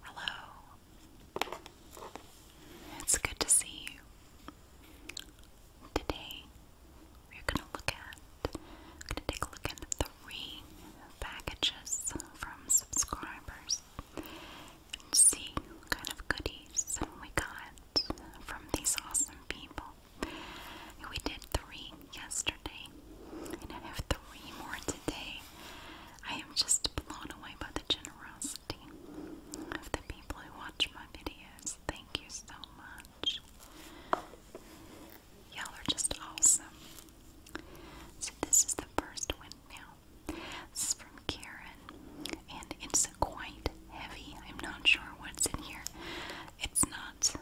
Hello. It's good to see you. Today we're going to look at going to take a look at three packages from subscribers and see kind of goodies we got from these awesome people. We did three yesterday, and I have three more today. I am just blown away by the generosity of the people who watch my videos. Thank you so much. Y'all are just awesome. So, this is the first windmill. This is from Karen, and it's quite heavy. I'm not sure what's in here. It's not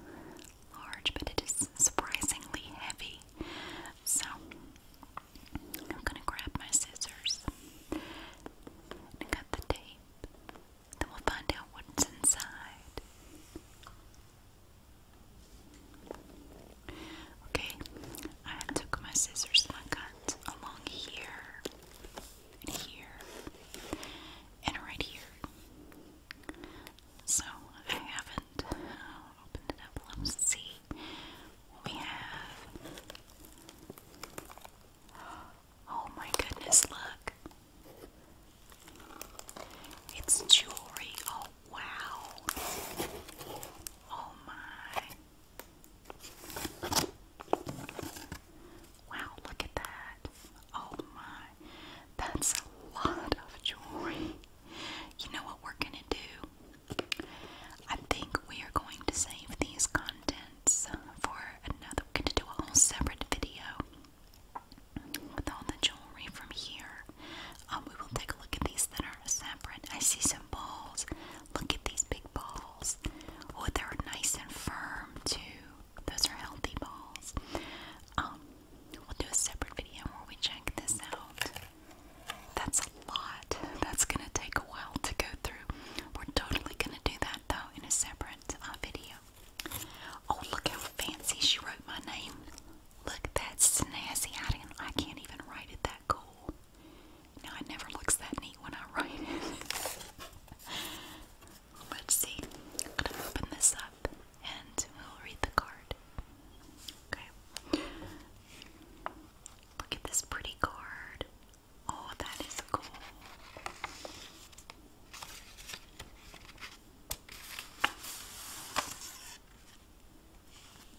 large, but it is surprisingly heavy. So I'm gonna grab my scissors and cut the tape. Then we'll find out what's inside. Okay, I took my scissors and I cut along here and here and right here. So I haven't uh, opened it up. Let's see what we have. Oh my goodness, look. It's jewelry. Oh wow. Oh my. Wow, look at that. Oh my. That's a lot of jewelry. You know what we're gonna do? I think we are going to save these contents for another. We're gonna do a whole separate video with all the jewelry from here. Um, we will take a look at these that are separate. I see some balls. Look at these big balls. Oh, they're nice and firm too. Those are healthy balls. Um, We'll do a separate video where we check this out. That's a lot. That's going to take a while to go through. We're totally going to do that though in a separate uh, video. Oh, look how fancy she wrote my name. Look, that's snazzy. I, I can't even write it that cool. No, it never looks that neat when I write it. Let's see. I'm gonna open this up and we'll read the card. Okay. Look at this pretty card. Oh, that is cool.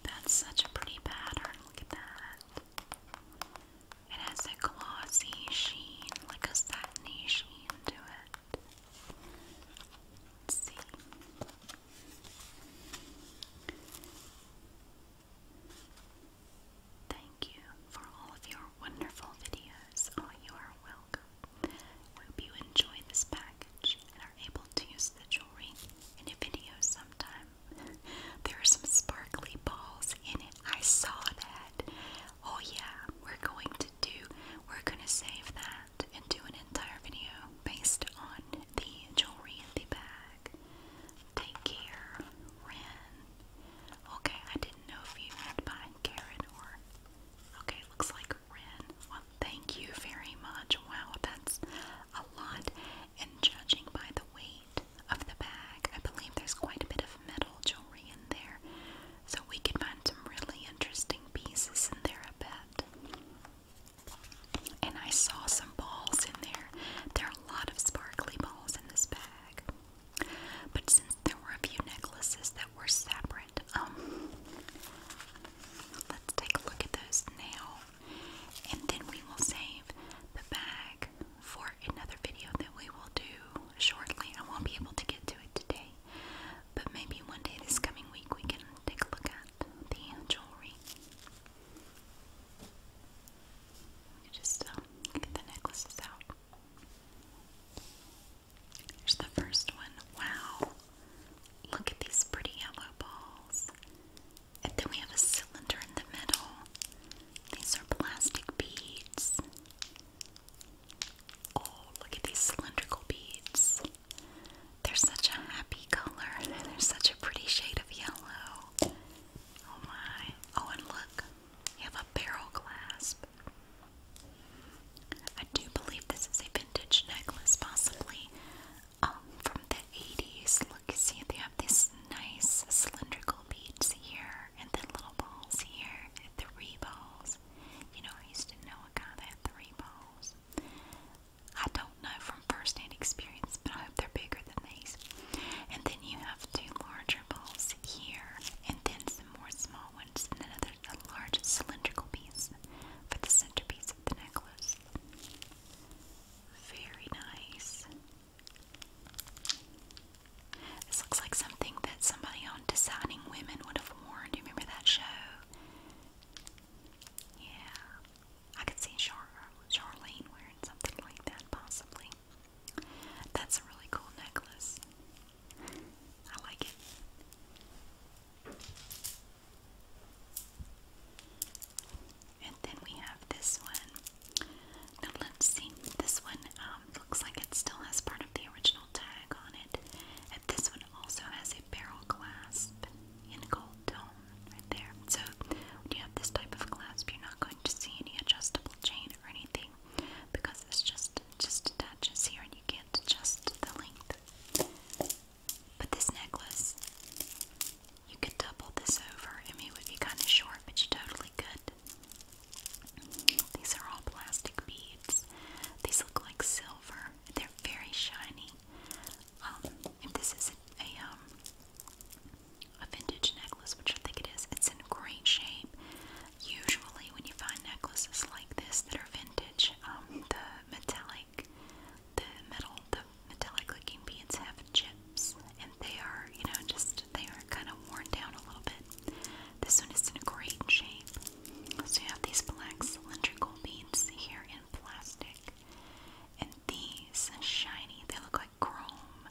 That's such a pretty pattern. Look at that. It has a glossy sheen, like a satiny sheen to it. Thank you for all of your wonderful videos. Oh, you are welcome. We hope you enjoy this package and are able to use the jewelry in a video sometime. there are some sparkly balls in it. I saw that. Oh yeah, we're going to do we're gonna save that and do an entire video based on the jewelry in the bag. Take care, Ren. Okay, I didn't know if you meant by Karen or okay, looks like Ren. Well thank you very much. Wow, that's a lot. And judging by the weight of the bag, I believe there's quite a bit of metal jewelry in there. So we could find some really interesting pieces in there, I bet. And I saw some balls in there. There are a lot of sparkly balls in this bag. But since there were a few necklaces that were separate, um, let's take a look at those now. And then we will save the bag for another video that we will do shortly. I won't be able to get to it today, but maybe one day this coming week we can take a look at the jewelry. just uh, get the necklaces out. Here's the first one. Wow! Look at these pretty yellow balls. And then we have a cylinder in the middle. These are plastic beads. Oh, look at these cylindrical beads. They're such a happy color. They're such a pretty shade of yellow. Oh my. Oh, and look, you have a barrel clasp. I do believe this is a vintage necklace, possibly um, from the 80s. Look, see, they have these nice cylindrical beads here, and then little balls here, and three balls. You know, I used to know guy that had three balls. I don't know from first-hand experience, but I hope they're bigger than these. And then you have two larger balls here, and then some more small ones, and another a large cylindrical piece for the centerpiece of the necklace. Very nice. This looks like something that somebody on on Women Would Have Worn. Do you remember that show? Yeah. I could see Charlene wearing something like that, possibly. That's a really cool necklace. I like it. And then we have this one. Now let's see. This one um, looks like it still has part of the original tag on and this one also has a barrel clasp in gold tone right there. So when you have this type of clasp, you're not going to see any adjustable chain or anything because it's just just attaches here and you can't adjust the length. But this necklace, you could double this over. and it would be kind of short, but you are totally good. These are all plastic beads beads. These look like silver. They're very shiny. Um, this is a, um, a vintage necklace, which I think it is, it's in great shape. Usually, when you find necklaces like this that are vintage, um, the metallic, the metal, the metallic-looking beads have chips, and they are, you know, just they are kind of worn down a little bit. This one is in a great shape. So you have these black cylindrical beads here in plastic. And these are shiny. They look like chrome.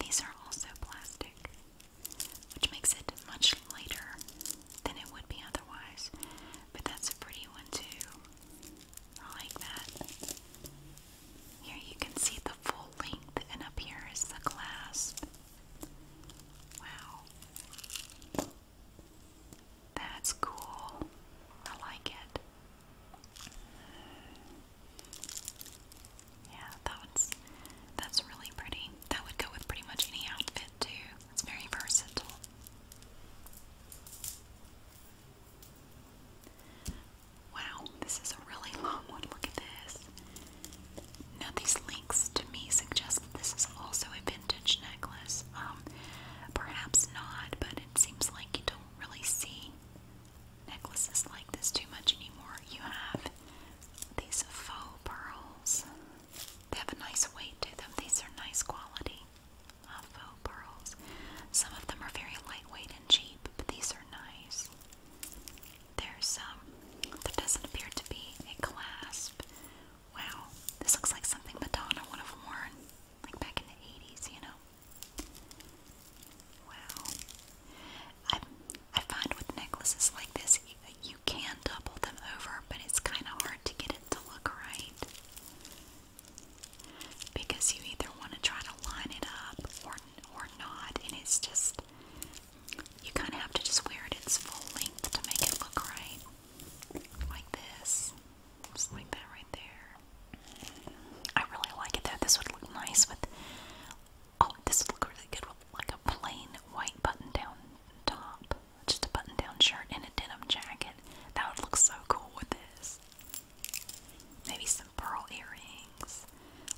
These are also plastic, which makes it much lighter than it would be otherwise. But that's a pretty one too. I like that. Here you can see the full length, and up here is the clasp. Wow. That's cool. I like it. Yeah, that that's really pretty. That would go with pretty much any outfit too. It's very versatile. Wow, this is a really long one. Look this. Now, these links to me suggest that this is also a vintage necklace. Um, perhaps not, but it seems like you don't really see necklaces like this too much anymore. You have these faux pearls. They have a nice weight to them. These are nice quality uh, faux pearls. Some of them are very lightweight and cheap, but these are nice. There's um there doesn't appear to be a clasp. Wow, this looks like something Madonna would have worn like back in the 80s, you know. Wow. I I find with necklaces like this you can double them over, but it's kind of hard to get it to look right. Because you either want to try to line it up or or not, and it's just you kind of have to just wear it its full length to make it look right. Like this. Just like that right there. I really like it though. This would look nice with. Oh, this would look really good with like a plain white button down top. Just a button down shirt and a denim jacket. That would look so cool with this. Maybe some pearl earrings.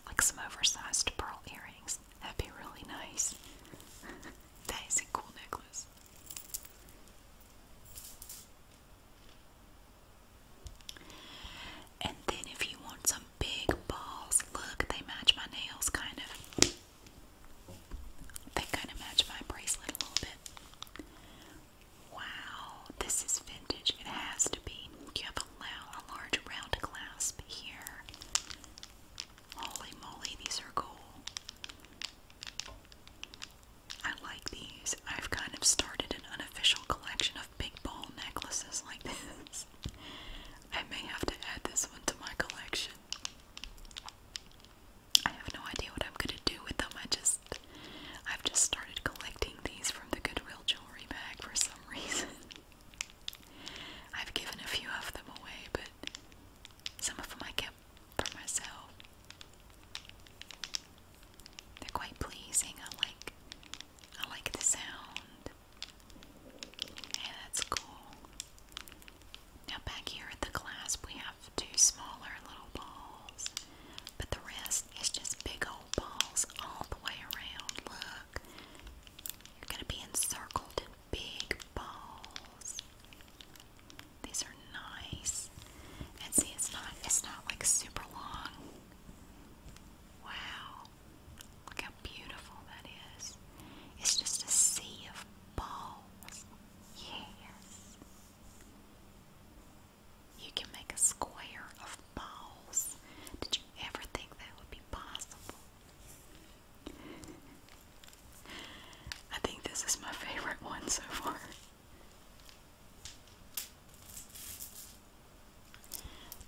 Like some oversized pearl earrings. That'd be really nice. that is a cool necklace. And then if you want some big balls, look, they match my nails kind of. They kind of match my bracelet a little bit. Wow, this is vintage. It has to be. You have a, large round clasp here. Holy moly, these are cool. I like these. I've kind of started an unofficial collection of big ball necklaces like this. I may have to add this one to my collection. I have no idea what I'm gonna do with them. I just I've just started collecting these from the Goodwill jewelry bag for some reason. I've given a few of them away, but some of them I kept for myself. They're quite pleasing. I like I like the sound. Yeah, that's cool. Now back here at the clasp we have two smaller little balls. But the rest is just big old balls all the way around. Look. You're gonna be encircled big balls. These are nice. And see it's not it's not like super long. Wow. Look how beautiful that is. It's just a sea of balls. Yes. You can make a square of balls. Did you ever think that would be possible? I think this is my favorite one so far.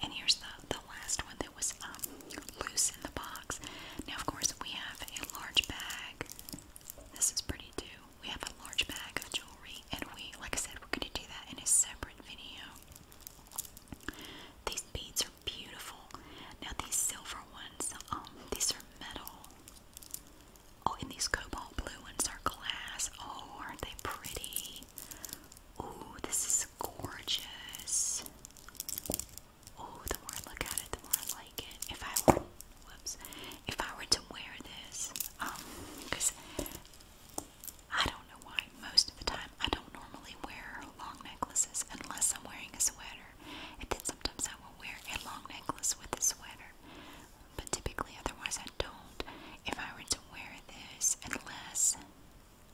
And here's the, the last one that was um, loose in the box. Now, of course, we have a large bag. This is pretty too. We have a large bag of jewelry, and we, like I said, we're going to do that in a separate video. These beads beautiful. Now these silver ones, um, these are metal. Oh, and these cobalt blue ones are glass. Oh, aren't they pretty? Oh, this is gorgeous. Oh, the more I look at it, the more I like it. If I whoops, if I were to wear this, um, because I don't know why most of the time I don't normally wear long necklaces unless I'm wearing a sweater sometimes I will wear a long necklace with a sweater. But typically, otherwise, I don't. If I were to wear this, unless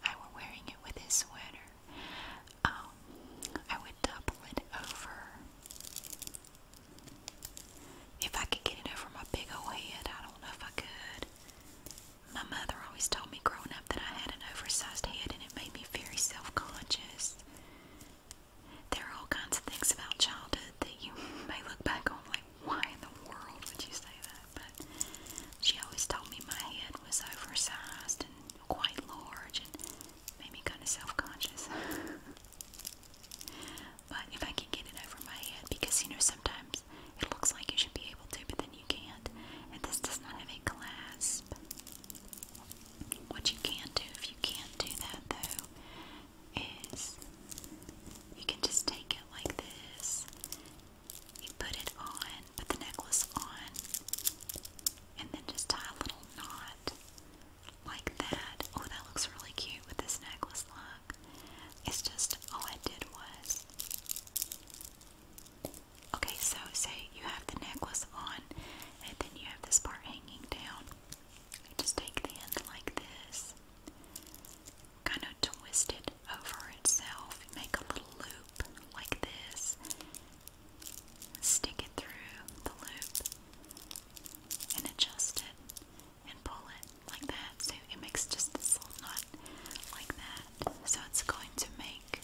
I were wearing it with a sweater, um, I would double it over. If I could get it over my big old head, I don't know if I could. My mother always told me growing up that I had an oversized head and it made me very self conscious. There are all kinds of things about childhood that you may look back on like, why in the world would you say that? But she always told me my head was oversized and quite large and made me kind of self conscious. but if I can get it over my head, because you know, sometimes it looks like you should be able to, but then you can't. And this does not have a clasp. What you can do if you can't do that though is you can just take it like this. You put it on, put the necklace on, and then just tie a little knot like that. Oh, that looks really cute with this necklace. Look, it's just all I did was Okay, so say you have the necklace on, and then you have this part hanging down. just take the end like this, kind of twist it over itself, make a little loop like this, stick it through the loop, and adjust it and pull it like that. So it makes just this little knot like that. So it's going to make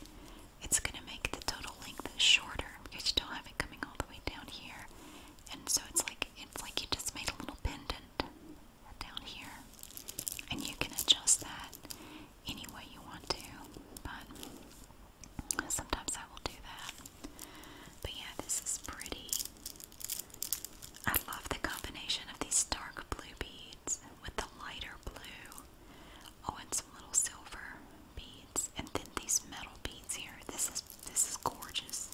it's going to make the total length shorter because you don't have it coming all the way down here. And so it's like it's like you just made a little pendant down here. And you can adjust that any way you want to. But sometimes I will do that. But yeah, this is pretty. I love the combination of these dark blue beads with the lighter blue. Oh, and some little silver beads, and then these metal beads here. This is this is gorgeous.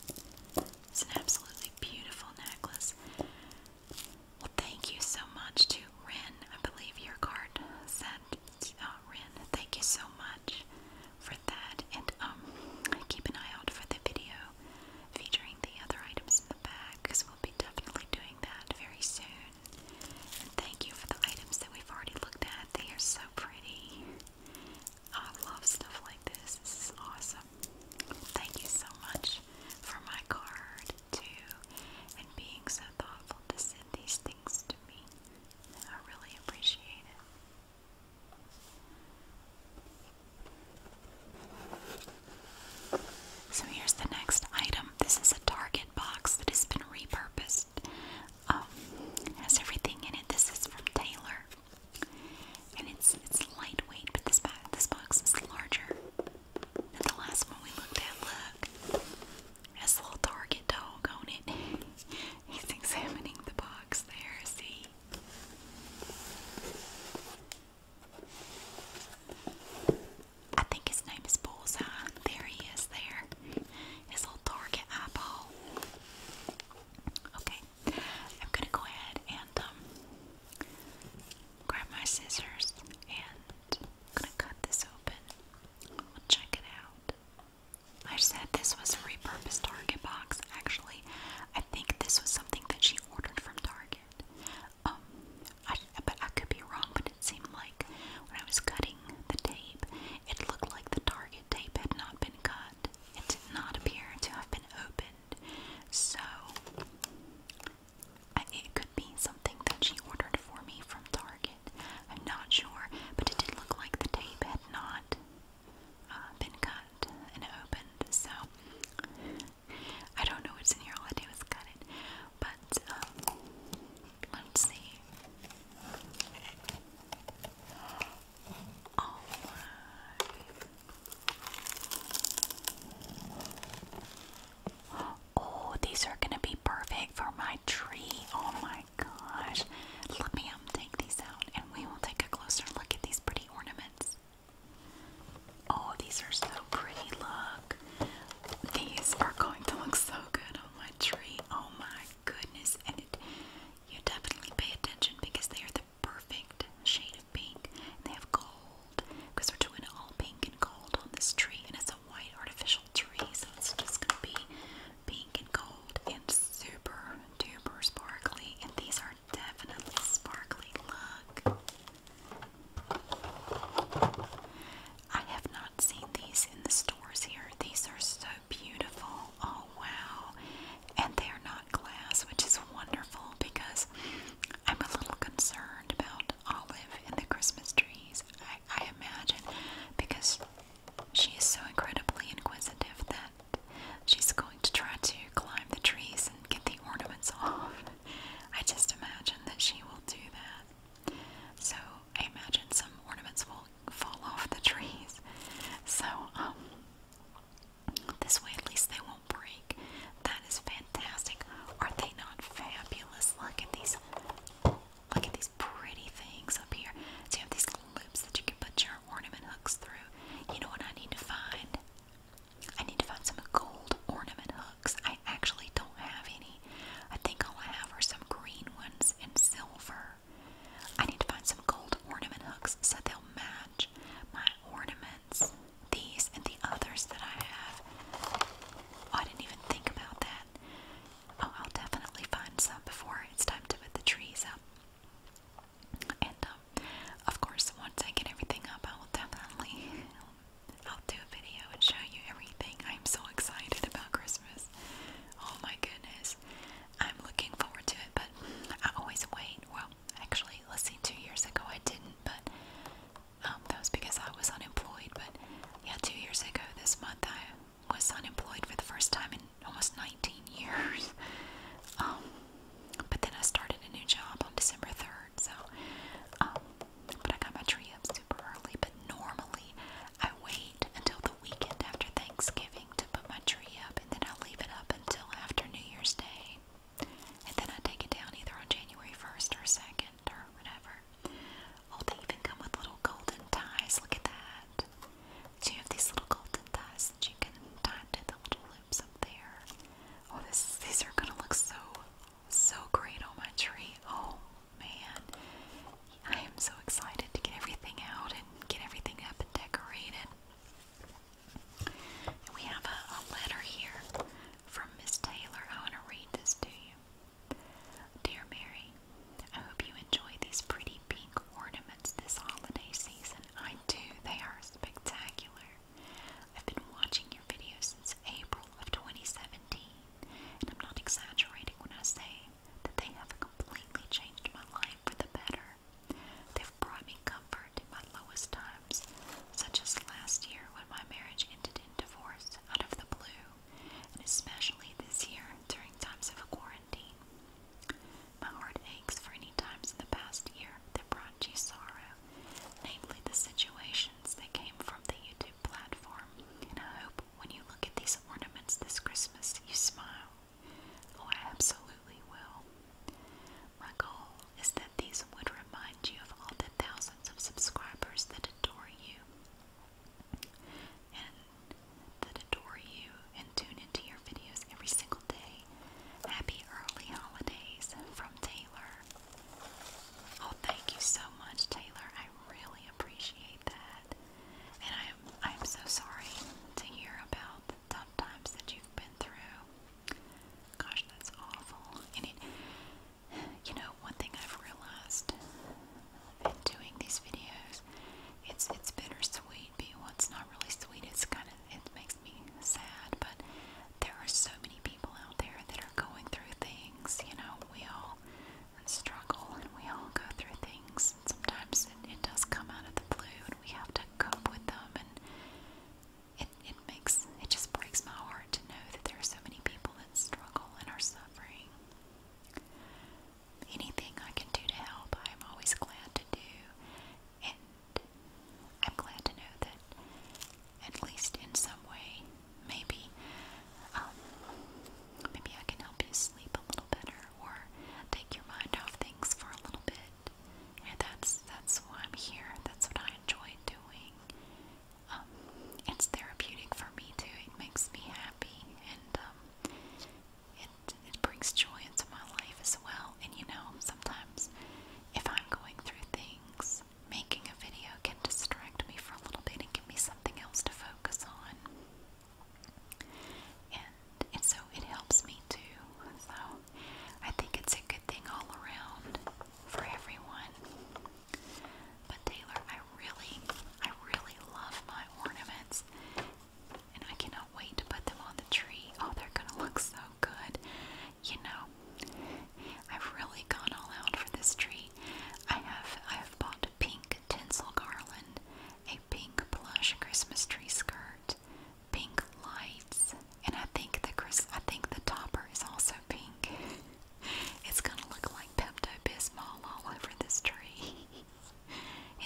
It's an absolutely beautiful necklace. Well, thank you so much to Ren. I believe your card said uh, Ren. Thank you so much for that, and um, keep an eye out for the video featuring the other items in the bag, because we'll be definitely doing that very soon. And thank you for the items that we've already looked at. They are so pretty. I love stuff like this. This is awesome. Thank you so much for my card, too, and being so thoughtful to send these things to me. I really appreciate it. So here's the next item. Um, this is a Target box that has been repurposed. Um, has everything in it. This is from Taylor, and it's it's lightweight, but this box is larger than the last one we looked at. Look, has a little Target dog on it. He's examining the box there. See. I think his name is Bullseye. There he is, there. His little target eyeball. Okay, I'm gonna go ahead and um, grab my scissors and gonna cut this open. We'll check it out. I said this was a repurposed Target box. Actually, I think this was something that she ordered from Target. Um, I, but I could be wrong, but it seemed like when I was cutting the tape, it looked like the target tape had not been cut. It did not appear to have been opened. So, I, it could be something that she ordered for me from Target. I'm not sure, but it did look like the tape had not uh, been cut and opened. So, I don't know what's in here. All I did was cut it. But, um, Let's see. Oh, oh these are going to be perfect for my tree. Oh my gosh. Let me um, take these out and we will take a closer look at these pretty ornaments. Oh, these are so pretty. Look. These are going to look so good on my tree. Oh my goodness. And it, you definitely pay attention because they are the perfect shade of pink. And they have gold because we're doing all pink and gold on this tree. And it's a white artificial tree. So it's just going to be pink and gold and super super sparkly. And these are definitely sparkly. Look. I have not seen these in the stores here. These are so beautiful. Oh wow. And they're not glass, which is wonderful because I'm a little concerned about Olive and the Christmas trees. I, imagine because she is so incredibly inquisitive that she's going to try to climb the trees and get the ornaments off. I just imagine that she will do that that. So I imagine some ornaments will fall off the trees. So, um, this way at least they won't break. That is fantastic. Are they not fabulous? Look at these. Look at these pretty things up here. So you have these loops that you can put your ornament hooks through. You know what I need to find? I need to find some gold ornament hooks. I actually don't have any. I think all I have are some green ones and silver. I need to find some gold ornament hooks so they'll match my ornaments. These and the others that I have. Oh, I didn't even think about that. Oh, I'll definitely find some before it's time to put the trees up. And um, of course, once I get everything up, I will definitely I'll do a video and show you everything. I'm so excited about Christmas. Oh my goodness. I'm looking forward to it, but I always wait. Well, actually, let's see, two years ago I didn't, but um, that was because I was unemployed. But yeah, two years ago this month I was unemployed for the first time in almost 19 years. Um, but then I started a new job on December 3rd, so um, but I got my tree up super early. But normally I wait until the weekend after Thanksgiving to put my tree up, and then I leave it up until after New Year's Day. And then I take it down either on January 1st or 2nd or whatever. Oh, they even come with little golden ties. Look at that. So you have these little golden ties that you can tie to the little loops up there. Oh, this, these are gonna look so so great on my tree. Oh man. I am so excited to get everything out and get everything up and decorated. we have a letter here from Miss Taylor. I want to read this to you. Dear Mary, I hope you enjoy these pretty pink ornaments this holiday season. I do. They are spectacular. I've been watching your videos since April of 2017. And I'm not exaggerating when I say that they have completely changed my life for the better. They've brought me comfort in my lowest times, such as last year when my marriage ended in divorce out of the blue, and especially this year during times of quarantine. My heart aches for any times in the past year that brought you sorrow, namely the situations that came from the YouTube platform, and I hope when you look at these ornaments this Christmas, you smile. Oh, I absolutely will. My goal is that these would remind you of all the thousands of subscribers that adore you and that adore you and tune into your videos every single day. Happy early holidays from Taylor. Oh, thank you so much, Taylor. I really really appreciate that. And I am I'm so sorry to hear about the tough times that you've been through. Gosh, that's awful. And it you know, one thing I've realized in doing these videos, it's it's bittersweet. But well, it's not really sweet. It's kind of it makes me sad. But there are so many people out there that are going through things. You know, we all and struggle, and we all go through things. And sometimes it, does come out of the blue, and we have to cope with them. And it it makes it just breaks my heart to know that there are so many people that struggle and are suffering. Anything I can do to help, I am always glad to do, and I'm glad to know that at least in some way maybe um, maybe I can help you sleep a little better or take your mind off things for a little bit. And that's that's why I'm here. That's what I enjoy doing. Um, it's therapeutic for me too. It makes me happy and um, it it brings joy into my life as well. And you know, sometimes if I'm going through things making a video can distract me for a little bit and give me something else to focus on. And, and so it helps me too. So I think it's a good thing all around for everyone. But Taylor, I really, I really love my ornaments. And I cannot wait to put them on the tree. Oh, they're gonna look so good. You know, I've really gone all out for this tree I have I have bought a pink tinsel garland, a pink plush Christmas tree skirt, pink lights, and I think the Chris I think the topper is also pink. it's gonna look like Pepto Bismol all over this tree.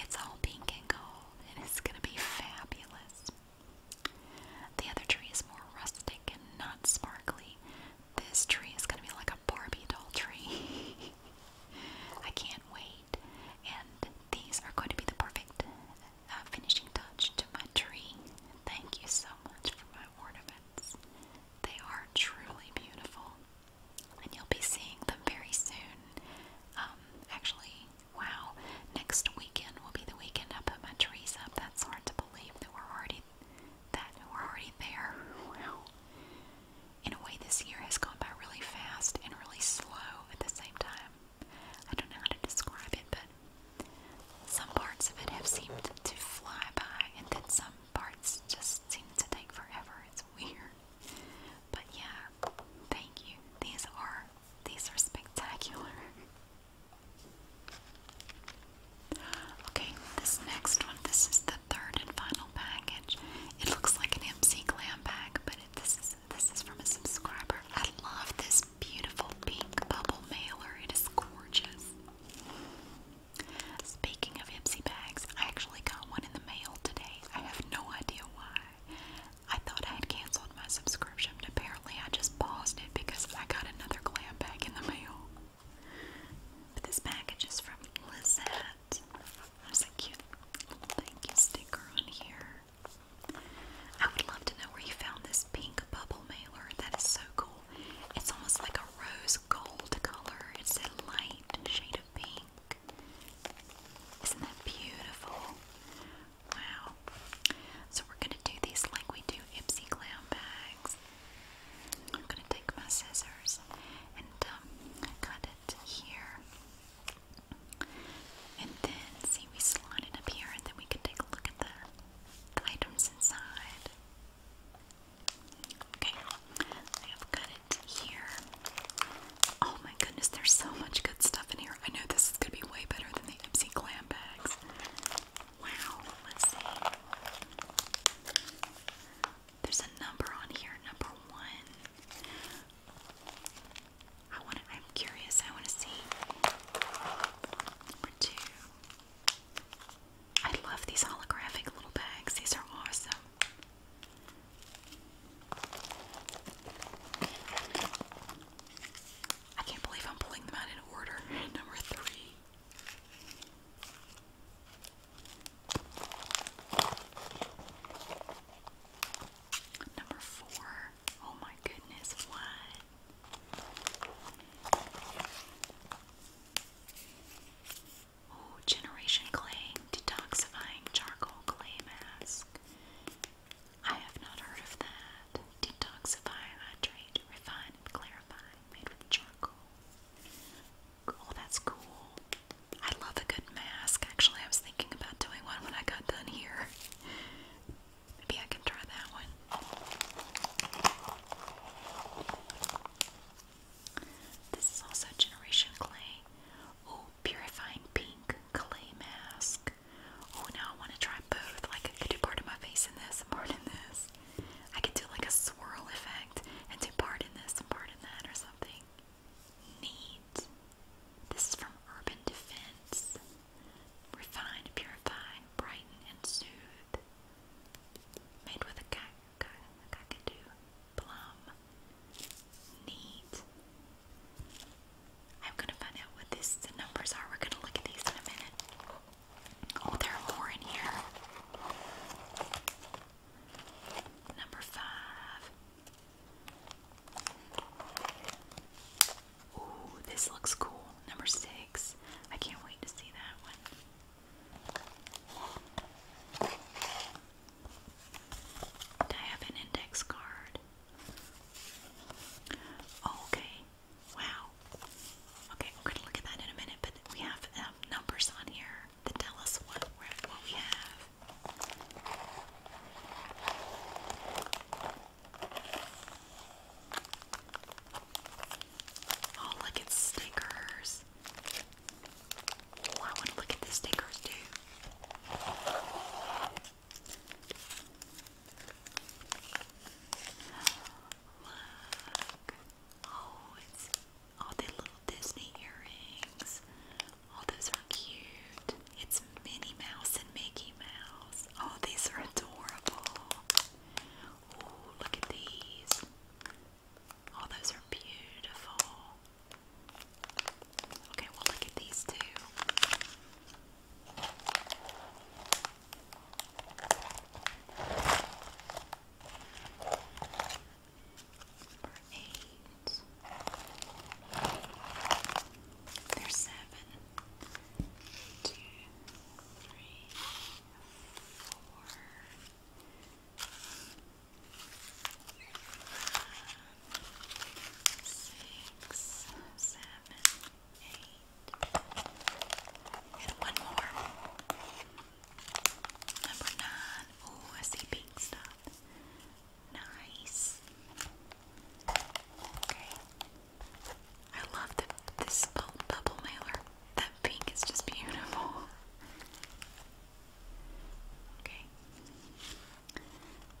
it's all pink and gold, and it's gonna be fabulous. The other tree is more rustic and not sparkly. This tree is going to be like a Barbie doll tree. I can't wait. And these are going to be the perfect uh, finishing touch to my tree. Thank you so much for my ornaments. They are truly beautiful. And you'll be seeing them very soon. Um, actually, wow, next weekend will be the weekend I put my trees up. That's hard to believe that we're already that we already there. In a way this year has gone by really fast and really slow at the same time. I don't know how to describe it, but some parts of it have seemed to fly by and then some parts just seem to take forever. It's weird. But yeah, thank you. These are these are spectacular. Okay, this next one, this is the third and final package. It looks like an MC Glam bag, but this is this is from a subscriber. I love this beautiful pink bubble mailer. It is gorgeous. Speaking of Ipsy bags, I actually got one in the mail today. I have no idea why. I thought I had canceled my subscription, but apparently I just paused it because I got another glam bag in the mail. But this package is from Lizette. There's a cute thank you sticker on here. I would love to know where you found this pink bubble mailer. That is so cool. It's almost like a rose gold color. It's a light shade of pink. Isn't that beautiful? Wow. So we're gonna do these like we do Ipsy Glam bags. I'm gonna take my scissors and um, cut it here. And then, see, we slide it up here, and then we can take a look at the, items inside. Okay, I have cut it here. Oh my goodness, there's so much good stuff in here. I know this is gonna be way better than the Ipsy Glam bags. Wow, let's see. There's a number on here, number one. I want to, I'm curious, I want to see number two. I love these holographic little bags, these are awesome. I can't believe I'm pulling them out in order. Number three. Number four. Oh my goodness, what? Oh, Generation Clay Detoxifying Charcoal Clay Mask. I have not heard of that. Detoxify, hydrate, refine, clarify. Made with charcoal. Oh, that's cool. I love a good mask. Actually, I was thinking about doing one when I got done here. Maybe I can try that one. This is also Generation Clay. Oh, Purifying Pink Clay Mask. Oh, now I want to try both. Like, I could do part of my face in this and part in this this. I could do like a swirl effect and do part in this and part in that or something. Neat. This is from Urban Defense. Refine, purify, brighten, and soothe. Made with a kakadu plum. Neat. I'm gonna find out what these the numbers are. We're gonna look at these in a minute. Oh, there are more in here. Number five. Ooh, this looks cool. Number six. I can't wait to see that one. Do I have an index card? Oh, okay. Wow. Okay, we're gonna look at that in a minute, but we have um, numbers on here that tell us what, we have. Oh, look at stickers. Oh, I want to look at the stickers too. Look. Oh, it's all the little Disney earrings. All those are cute. It's Minnie Mouse and Mickey Mouse. Oh, these are adorable. Oh, look at these. Oh, those are beautiful. Okay, we look at these two. Number eight. There's seven. Two, three, four, And one more. Number nine. Oh, I see pink stuff. Nice. Okay. I love the this bubble mailer. That pink is just beautiful. Okay.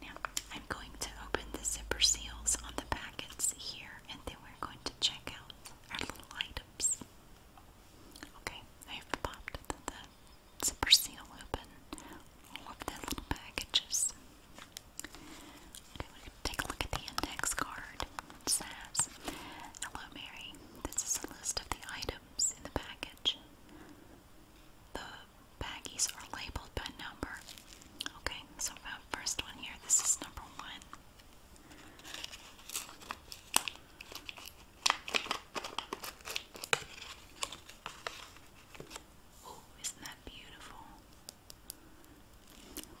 Now I'm going to open the zipper seals on the packets here, and then we're going to check out our little items. Okay, I've popped the, zipper seal open, all of the little packages. Okay, we can take a look at the index card. It says, Hello Mary, this is a list of the items in the package. The baggies are labeled by number. Okay, so uh, first one here, this is number one. Oh, isn't that beautiful?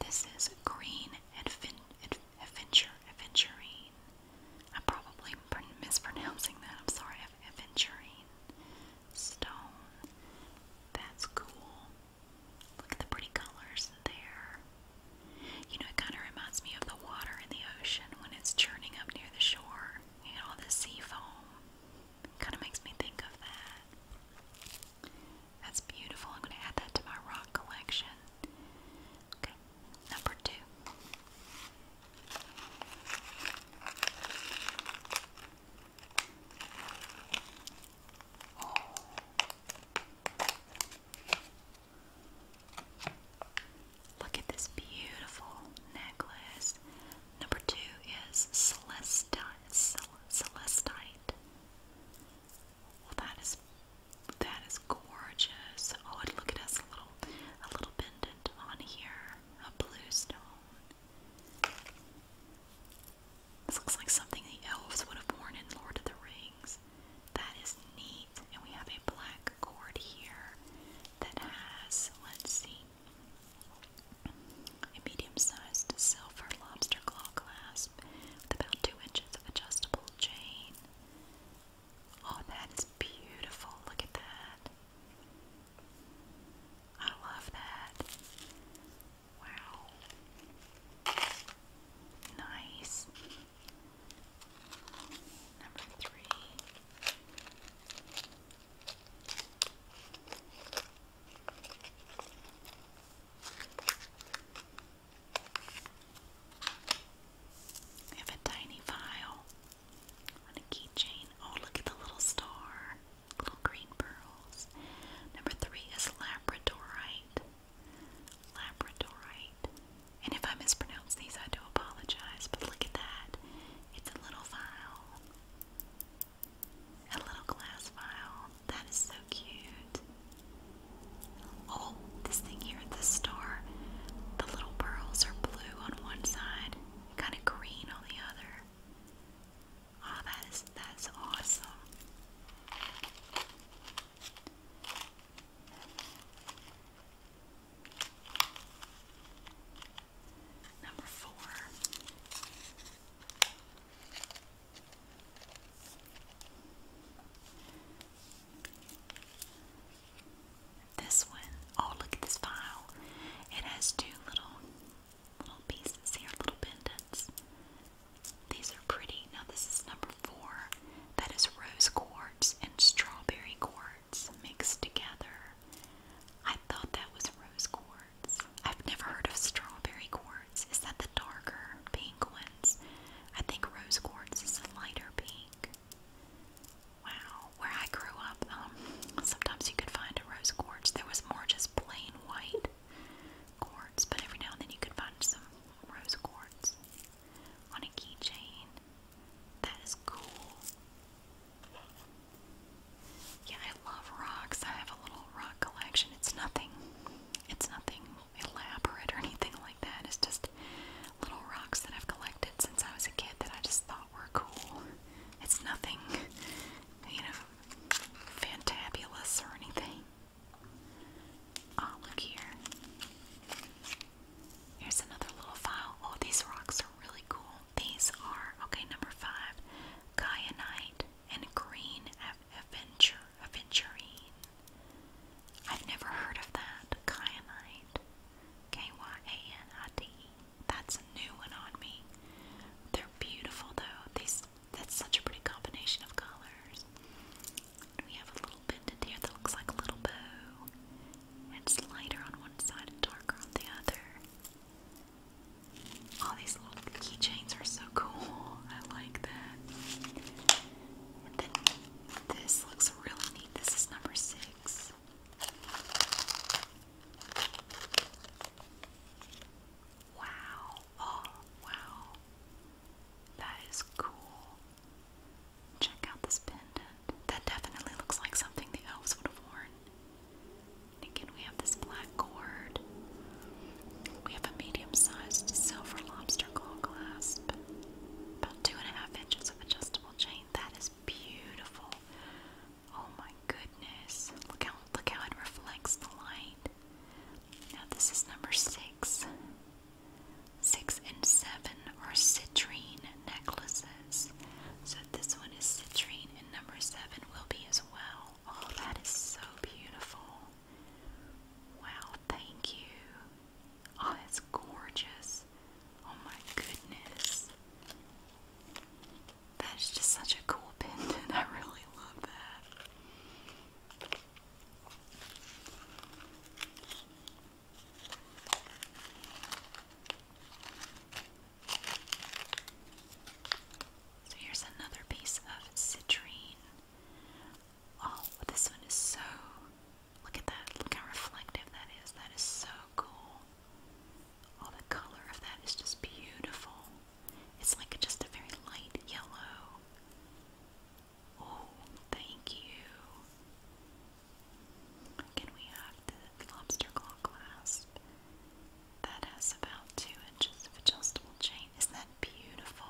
This is green adventure aventurine. I'm probably mispronouncing that. I'm sorry, aventurine stone. That's cool. Look at the pretty colors there. You know, it kind of reminds me of the water in the ocean when it's churning up near the shore. and all the sea foam. Kind of makes me think of that. That's beautiful. I'm going to add that to my rock collection. Okay, number two. Look at this beautiful necklace. Number two is celestite. Celestite. Well, that is that is gorgeous. Oh, and look at us little a little pendant on here, a blue stone. This looks like something the elves would have worn in Lord of the Rings. That is neat. And we have a black cord here that has, let's see, a medium-sized silver lobster claw clasp with about two inches of adjustable chain. Oh, that is beautiful. Look at that. I love that. Wow. Nice. Number three. We have a tiny file on a keychain. Oh, look at the little star, little green pearls. Number three is labradorite labradorite. And if I mispronounce these, I do apologize, but look at that. It's a little vial. A little glass vial. That is so cute. Oh, this thing here at the star. The little pearls are blue on one side, kind of green on the other. Oh, that is that's awesome. Number four. This one, oh look at this file. It has two little little pieces here, little pendants. These are pretty. Now, this is number four. That is rose quartz and strawberry quartz mixed together. I thought that was rose quartz. I've never heard of strawberry quartz. Is that the darker pink ones? I think rose quartz is a lighter pink. Wow. Where I grew up, um, sometimes you could find a rose quartz. There was more just plain white quartz, but every now and then you could find some rose quartz on a keychain. That is cool. Yeah, I love rocks. I have a little rock collection. It's nothing. It's nothing elaborate or anything like that. It's just little rocks that I've collected since I was a kid that I just thought were cool. It's nothing, you know, fantabulous or anything. Oh, look here. Here's another little file. Oh, these rocks are really cool. These are, okay, number five, kyanite and green aventurine. I've never heard of that, kyanite. K-Y-A-N-I-T. That's a new one on me. They're beautiful though. These that's such a pretty combination of colors. We have a little pendant here that looks like a little bow. It's lighter on one side and darker on the other. All these little keychains are so cool. I like that. then this looks really neat. This is number six. Wow. Oh, wow. That is cool. Check out this pendant. That definitely looks like something the elves would have worn. again, we have this black gourd. We have a medium sized silver lobster claw clasp. About two and a half inches of adjustable chain. That is beautiful. Oh my goodness. Look how look how it reflects the light. Now this is number six six and seven are citrine necklaces. So this one is citrine, and number seven will be as well. Oh, that is so beautiful! Wow, thank you. Oh, that's gorgeous. Oh my goodness. That is just such a cool pendant. I really love that. So here's another piece of citrine. Oh, this one is so. Look at that. Look how reflective that is. That is so cool. All the color of that is just beautiful. It's like just a very light yellow. Oh, thank you. Can we have the lobster claw clasp? That has about two inches of adjustable chain. is that beautiful?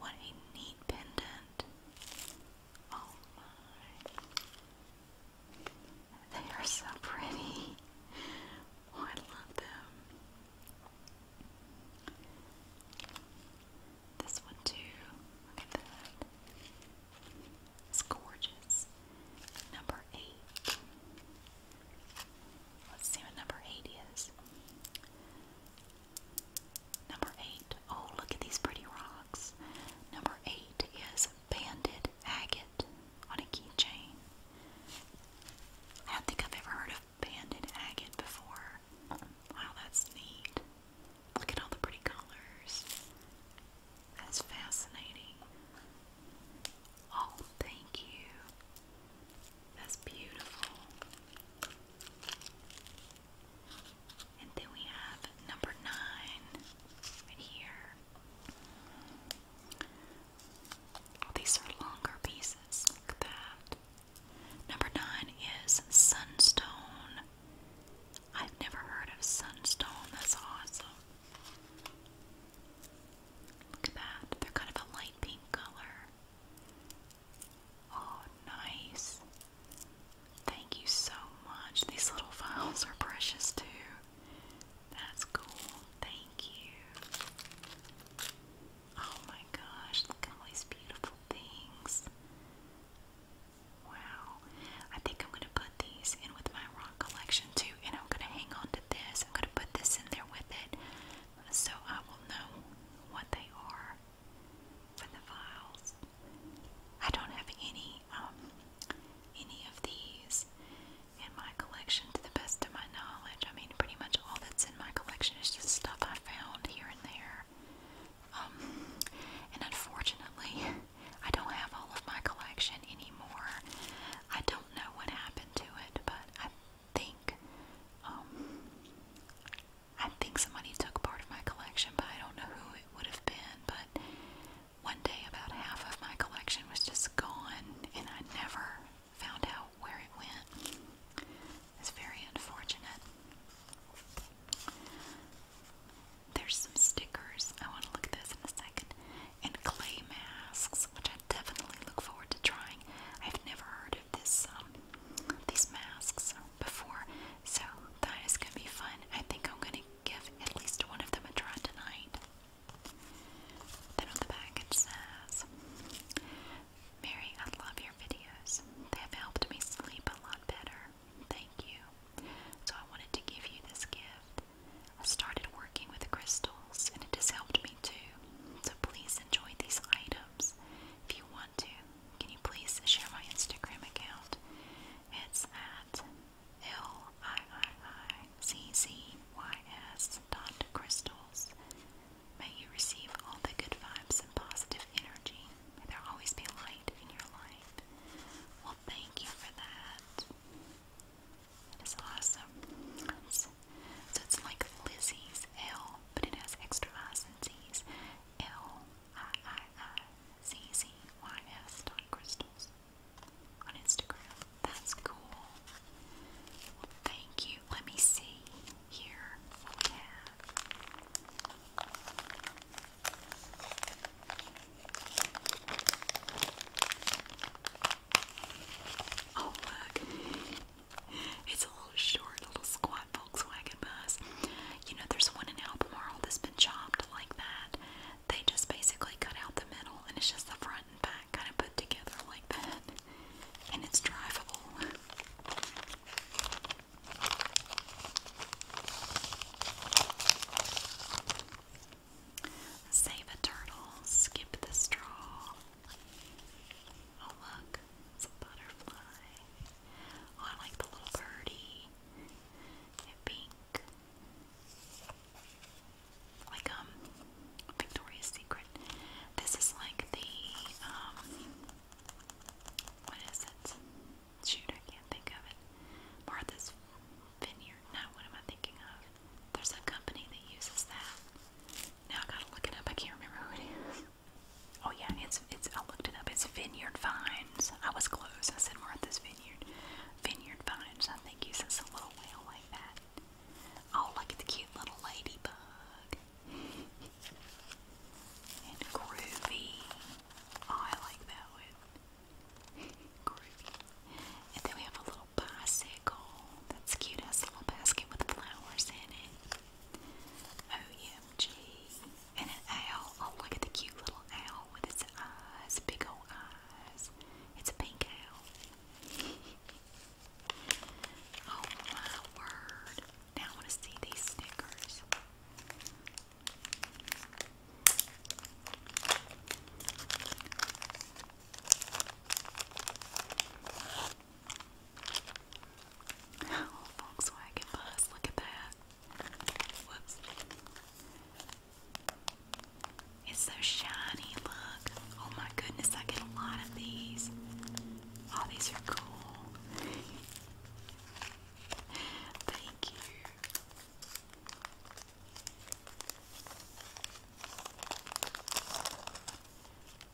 What a neat pendant. Oh my. They are so pretty. Oh, I love them. This one too. Look at that. It's gorgeous. Number eight. Let's see what number eight is. Number eight. Oh, look at these pretty rocks. Number eight is banded agate on a keychain. I don't think I've ever heard of banded agate before. Wow, that's neat. Look at all the pretty colors. That's fascinating. Oh, thank you. That's beautiful. And then we have number nine right here. Oh, these are longer pieces. Look at that. Number nine is Sunstone. I've never heard of Sunstone. That's awesome. Look at that. They're kind of a light pink color. Oh, nice. Thank you so much. These little vials are precious too. That's cool. Thank you. Oh my gosh, look at all these beautiful things. Wow. I think I'm going to put these in with my rock collection too, and I'm going to hang on to this. I'm going to put this in there with it so I will know what they are for the files. I don't have any um any of these in my collection to the best of my knowledge. I mean pretty much all that's in my collection is just stuff I found here and there. Um, and unfortunately, I don't have all of my collection anymore. I don't know what happened to it, but I think um, I think somebody took part of my collection, but I don't know who it would have been. But one day, about half of my collection was just gone, and I never found out where it went. It's very unfortunate. There's some stickers. I want to look at those in a second. And clay masks, which I definitely look forward to trying. I've never heard of this um, these masks before, so that is gonna be fun. I think I'm gonna give at least one of them a try tonight. Then on the back says, Mary, I love your videos. They have helped me sleep a lot better. Thank you. So I wanted to give you this gift. I started working with crystals and it has helped me too. So please enjoy these items. If you want to, can you please share my Instagram account? It's at L I I I C C Y S dot crystals. May you receive all the good vibes and positive energy. May there always be light in your life. Well, thank you for that. That is awesome. so it's like Lizzie's L, but it has extra I's and Z's. L I I I Z Z Y S dot crystals on Instagram. That's cool. thank you. Let me see. Here we have Oh look, it's a little short, little squat Volkswagen bus. You know, there's one in Albemarle that's been chopped like that. They just basically cut out the middle, and it's just the front and back kind of put together like that, and it's drivable. Save a turtle, skip the straw. Oh, look, it's a butterfly. Oh, I like the little birdie in pink. Like, um, Victoria's Secret. This is like the, um, what is it? Shoot, I can't think of it. Martha's Vineyard. No, what am I thinking of? There's a company that uses that. Now I gotta look it up. I can't remember who it is. Oh yeah, it's it's. I looked it up. It's Vineyard Vines. I was close. I said Martha's Vineyard. Vineyard Vines. I think uses a little whale like that. Oh, look at the cute little ladybug and groovy. Oh, I like that one. groovy. And then we have a little bicycle. That's cute. a little basket with flowers in it. OMG. And an owl. Oh, look at the cute little owl with its eyes. Big old eyes. It's a pink owl. oh my word. Now I want to see these stickers. Volkswagen bus, look at that. It's so shiny, look. Oh my goodness, I get a lot of these. Oh, these are cool. Thank you.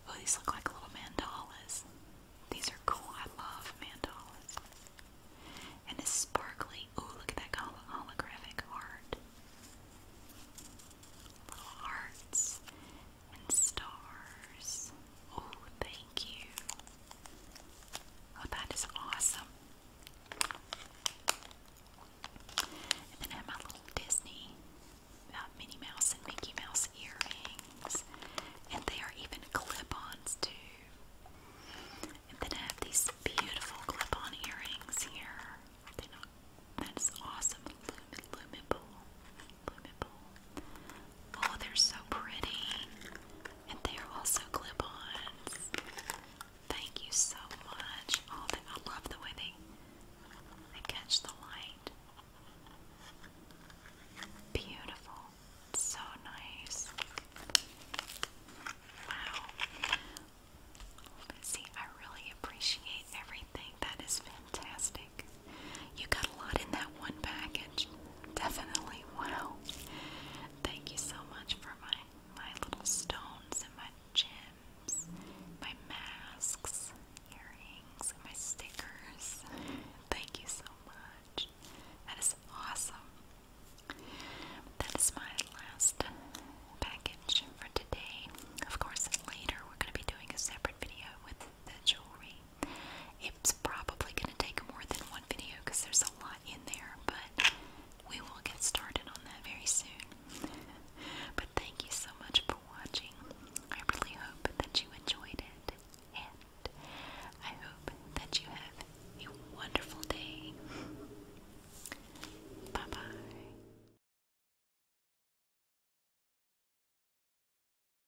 Oh, these look like little mandalas. These are cool. I love mandalas. And it's sparkly. Oh, look at that holographic art. Little hearts and stars. Oh, thank you. Oh, that is awesome. And then I have my little Disney uh, Minnie Mouse and Mickey Mouse earrings. And they are even clip ons, too. And then I have these beautiful clip on earrings here. They're not, that is awesome. luminable. Oh, they're so pretty. And they're also clip-ons. Thank you so much. Oh, I love the way they, they catch the light. Beautiful. So nice. Wow. See, I really appreciate everything. That is fantastic. You got a lot in that one package. Definitely. Wow. Thank you so much for my my little stones and my gems, my masks, earrings, and my stickers. Thank you so much. That is awesome. That is my last package for today. Of course, later we're going to be doing a separate video with the jewelry. It's probably going to take more than one video because there's a lot in there, but we will get started on that very soon. but thank you so much for watching. I really hope that you enjoyed it, and I hope that you have a wonderful day. bye bye.